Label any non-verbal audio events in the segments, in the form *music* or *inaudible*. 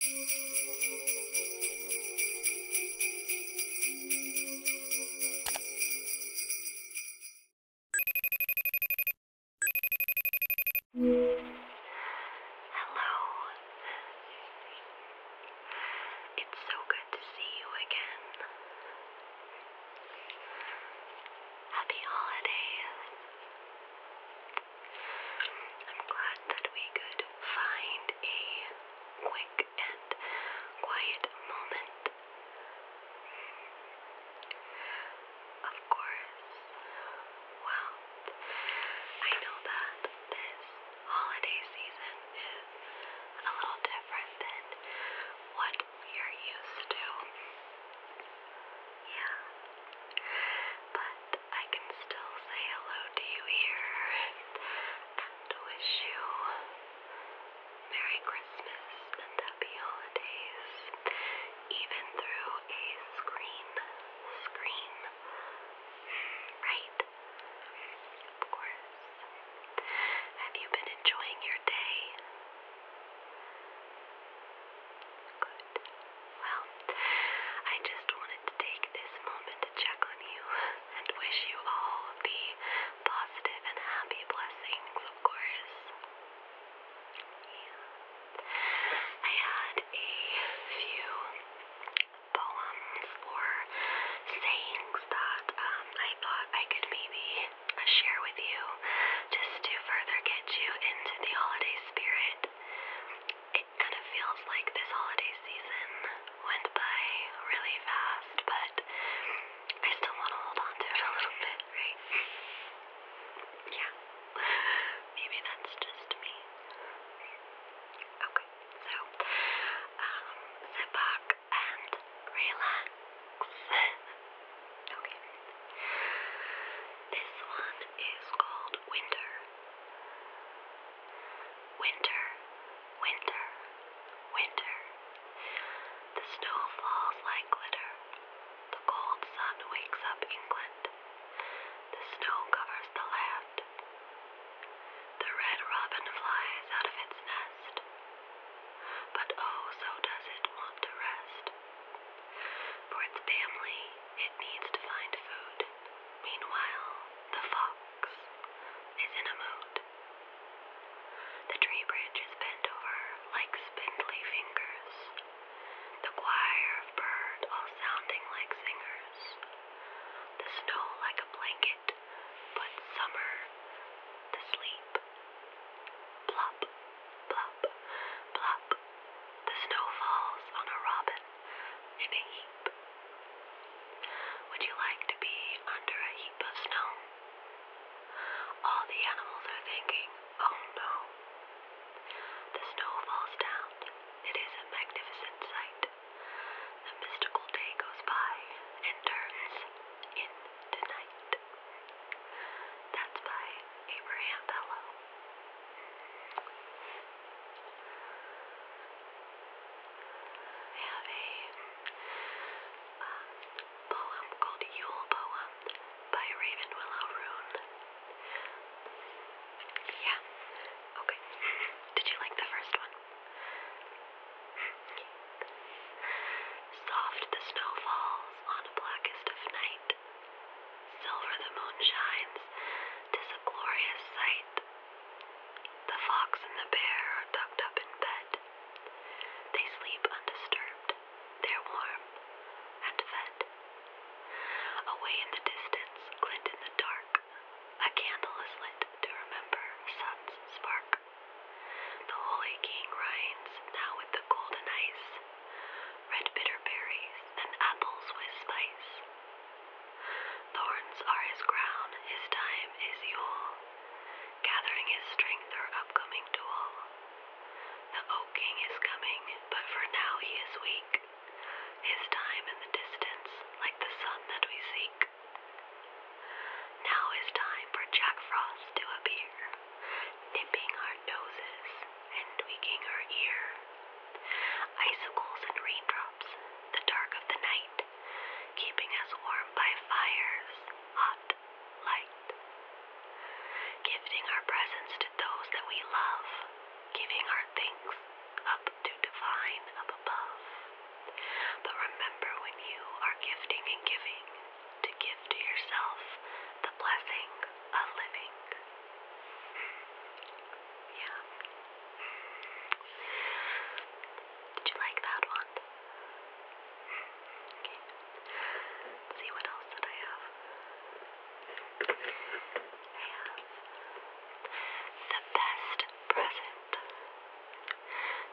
Hello. It's so good to see you again. Happy holidays. I'm glad that we could find a quick and quiet moment. Of course, well, I know that this holiday season is a little different than what we are used to. Yeah. But I can still say hello to you here and wish you Merry Christmas and Happy Holidays, even through a screen. Screen. Right? Of course. Have you been enjoying your day? Good. Well, I just wanted to take this moment to check on you and wish you all the positive and happy blessings, of course. I had a few poems or sayings that um, I thought I could maybe share with you just to further get you into the holiday spirit kind of feels like this holiday season went by really fast, but I still want to hold on to it a little bit, right? yeah. *laughs* Maybe that's just me. Okay, so, um, sit and relax. *laughs* okay. This one is called winter. Winter, winter, winter. The snow falls like glitter. The cold sun wakes up England. The snow covers the land. The red robin flies out of its nest. But oh, so does it want to rest. For its family, it needs to find food. Meanwhile, the fox is in a mood. The tree branch is over like spindly fingers, the choir of bird all sounding like singers, the snow like a blanket, but summer to sleep. Plop, plop, plop, the snow falls on a robin in a heap. Would you like to be under a heap of snow? All the animals are thinking, oh no. The snow falls down. It is a magnificent sight. The mystical day goes by and turns into night. That's by Abraham Bellow. I have a um, poem called Yule Poem by Raven Willow Rune. Yeah. Okay. Did you like the first one? Soft the snow falls on a blackest of night. Silver the moon shines, tis a glorious sight. The fox and the bear are tucked up in bed. They sleep undisturbed, they're warm and fed. Away in the distance, glint in the dark, a candle is lit to remember sun's spark. The holy king reigns now with the golden ice red bitter berries, and apples with spice. Thorns are his crown, his time is Yule, gathering his strength for upcoming duel. The oak king is coming, but for now he is weak, his time in the distance, like the sun that we seek. Now is time for Jack Frost to appear dipping our noses and tweaking our ear. Icicles and raindrops, the dark of the night, keeping us warm by fires, hot, light. Gifting our presents to those that we love, giving our things up to divine up above. But remember when you are gifting and giving, to give to yourself the blessing of living. Yeah. Did you like that one? Okay. see what else did I have? I the best present.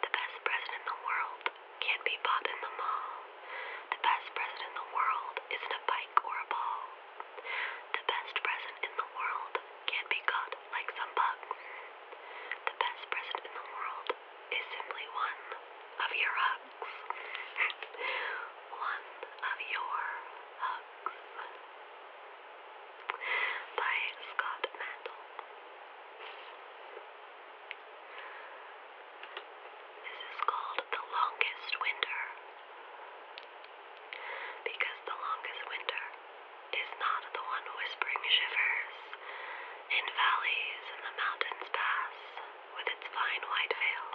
The best present in the world can't be bought in the mall. The best present in the world isn't a bike or a ball. The best present in the world can't be got like some bucks. The best present in the world is simply one of your hugs. *laughs* one of your hugs. By Scott Mandel. This is called the longest winter because the longest winter is not the one whispering shivers in valleys and the mountains pass with its fine white veil,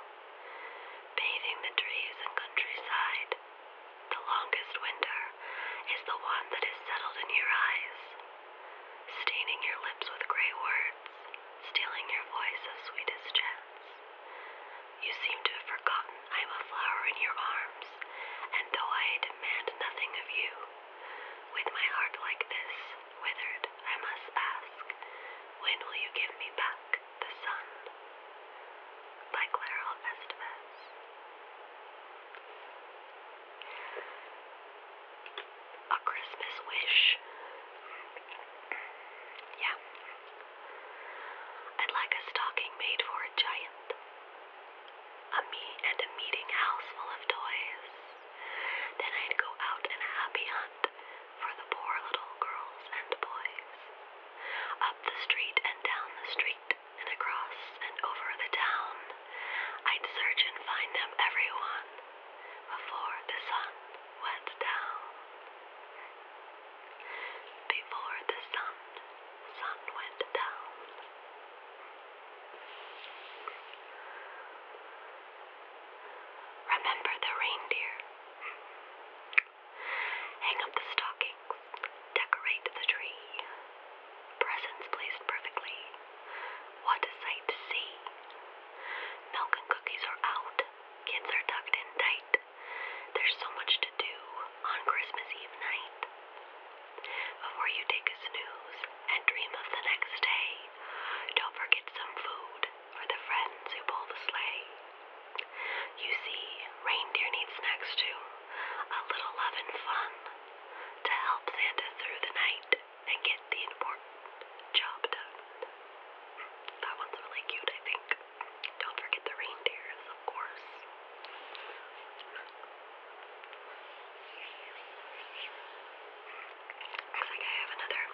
bathing the trees and countryside. The longest winter is the one that is settled in your eyes staining your lips with gray words, stealing your voice of sweetest chants. You seem to have forgotten I am a flower in your arms, and though I demand nothing of you, with my heart like this, withered, I must ask, when will you give me back the sun? By Clara Estevez a Christmas wish. Yeah. I'd like a stocking made for a giant. A me and a meeting house full of toys. Then I'd go out and a happy hunt for the poor little girls and boys. Up the street and down the street and across and over the town. I'd search and find them everyone before the sun went down. Before the sun, sun went down. Remember the reindeer. Hang up the stockings, decorate the tree. Presents placed perfectly what a sight to see. Milk and cookies are out. Kids are tucked in tight. There's so much to do on Christmas Eve night. Before you take a snooze and dream of the next day, don't forget some food for the friends who pull the sleigh. You see, reindeer need snacks too, a little love and fun to help Santa through the night and get the important job done. That one's really cute, I think. Don't forget the reindeers, of course. Looks like I have another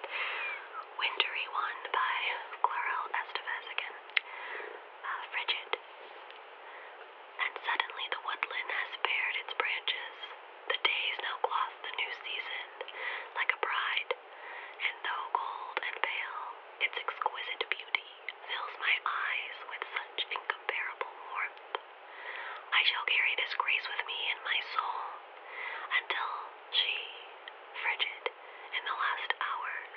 wintry one by Clarel Estevez again. Uh, frigid. And suddenly the woodland has bared its branches the days now gloss the new season like a bride, and though cold and pale, its exquisite beauty fills my eyes with such incomparable warmth. I shall carry this grace with me in my soul until she, frigid in the last hours,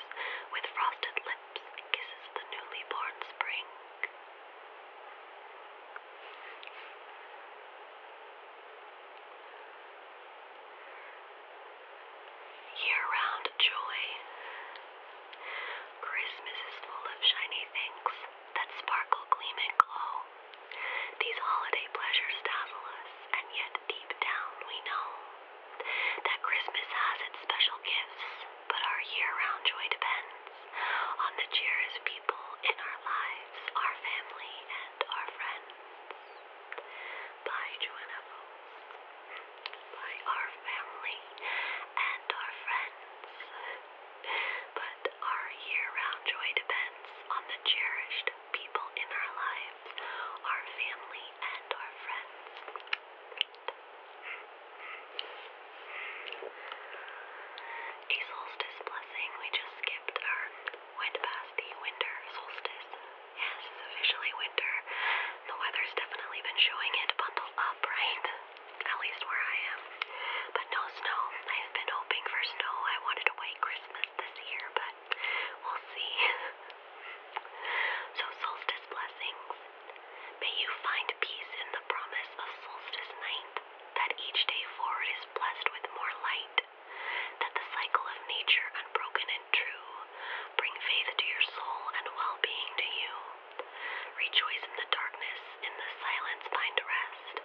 with frosted lips, kisses the newly born spring. Year round joy. Christmas is full of shiny things that sparkle, gleam, and glow. These holiday pleasures dazzle us, and yet deep down we know that Christmas has its special gifts but our year round joy depends on the cheeriest people in our lives, our family, and our friends. By Joanna by our family and our friends. But our year round joy depends on the cherished people in our lives, our family, and our friends solstice blessing. We just skipped our, went past the winter solstice. Yes, officially winter. The weather's definitely been showing it. Bundle up, right? At least where I am. But no snow. I've been hoping for snow. I wanted a white Christmas this year, but we'll see. *laughs* so, solstice blessings. May you find peace in the promise of solstice night, that each day forward is blessed with more light, that the cycle of nature, unbroken and true, bring faith to your soul and well being to you. Rejoice in the darkness, in the silence find rest,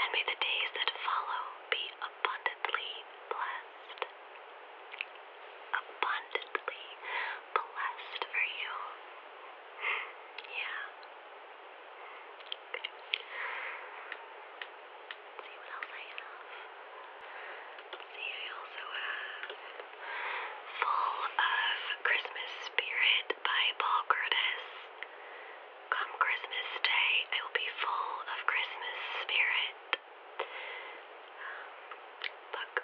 and may the days that follow be abundantly blessed. Abundantly blessed for you. Yeah. see what else I have. see, I also have Full of Christmas Spirit by Paul Curtis. Come Christmas Day, I will be full of Christmas spirit. Um,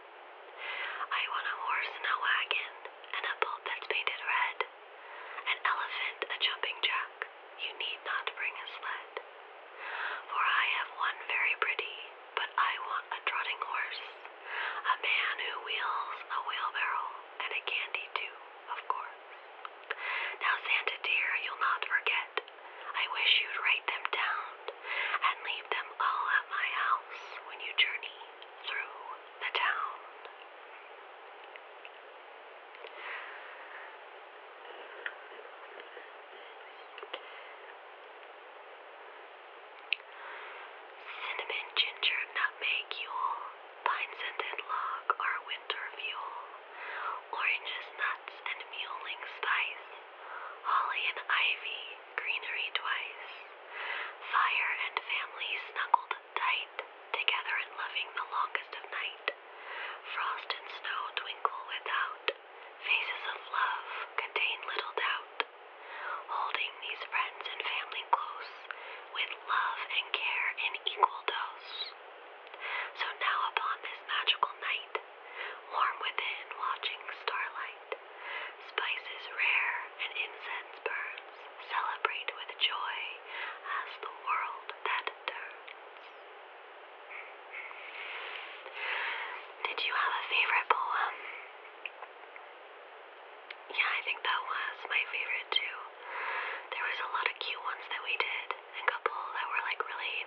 night. I want a horse and a wagon, and a boat that's painted red, an elephant, a jumping jack. You need not bring a sled. For I have one very pretty, but I want a trotting horse, a man who wheels a wheelbarrow, and a candy too, of course. Now, Santa dear, you'll not forget. I wish you'd write them down and leave them all at my house when you journey through the town. Cinnamon, ginger, nutmeg, yule, pine scented log are winter fuel. Oranges, nuts, and muling spice, holly and ivy greenery twice. Fire and family snuggled tight, together in loving the longest of night. Frost and snow twinkle without, faces of love contain little doubt. Holding these friends and family close, with love and care in equal dose. So now upon this magical night, warm within watching starlight. Spices rare and incense burns, celebrate with joy as the world that turns. Did you have a favorite poem? Yeah, I think that was my favorite too. There was a lot of cute ones that we did, a couple that were like really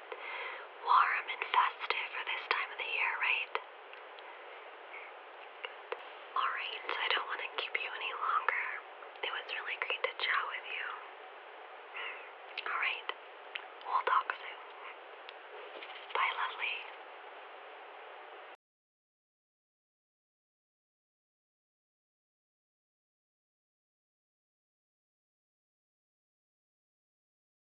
warm and festive for this time of the year, right? Good. Alright, I don't want to keep you any longer. It was really great to chat with you. Alright, we'll talk soon. Bye, lovely.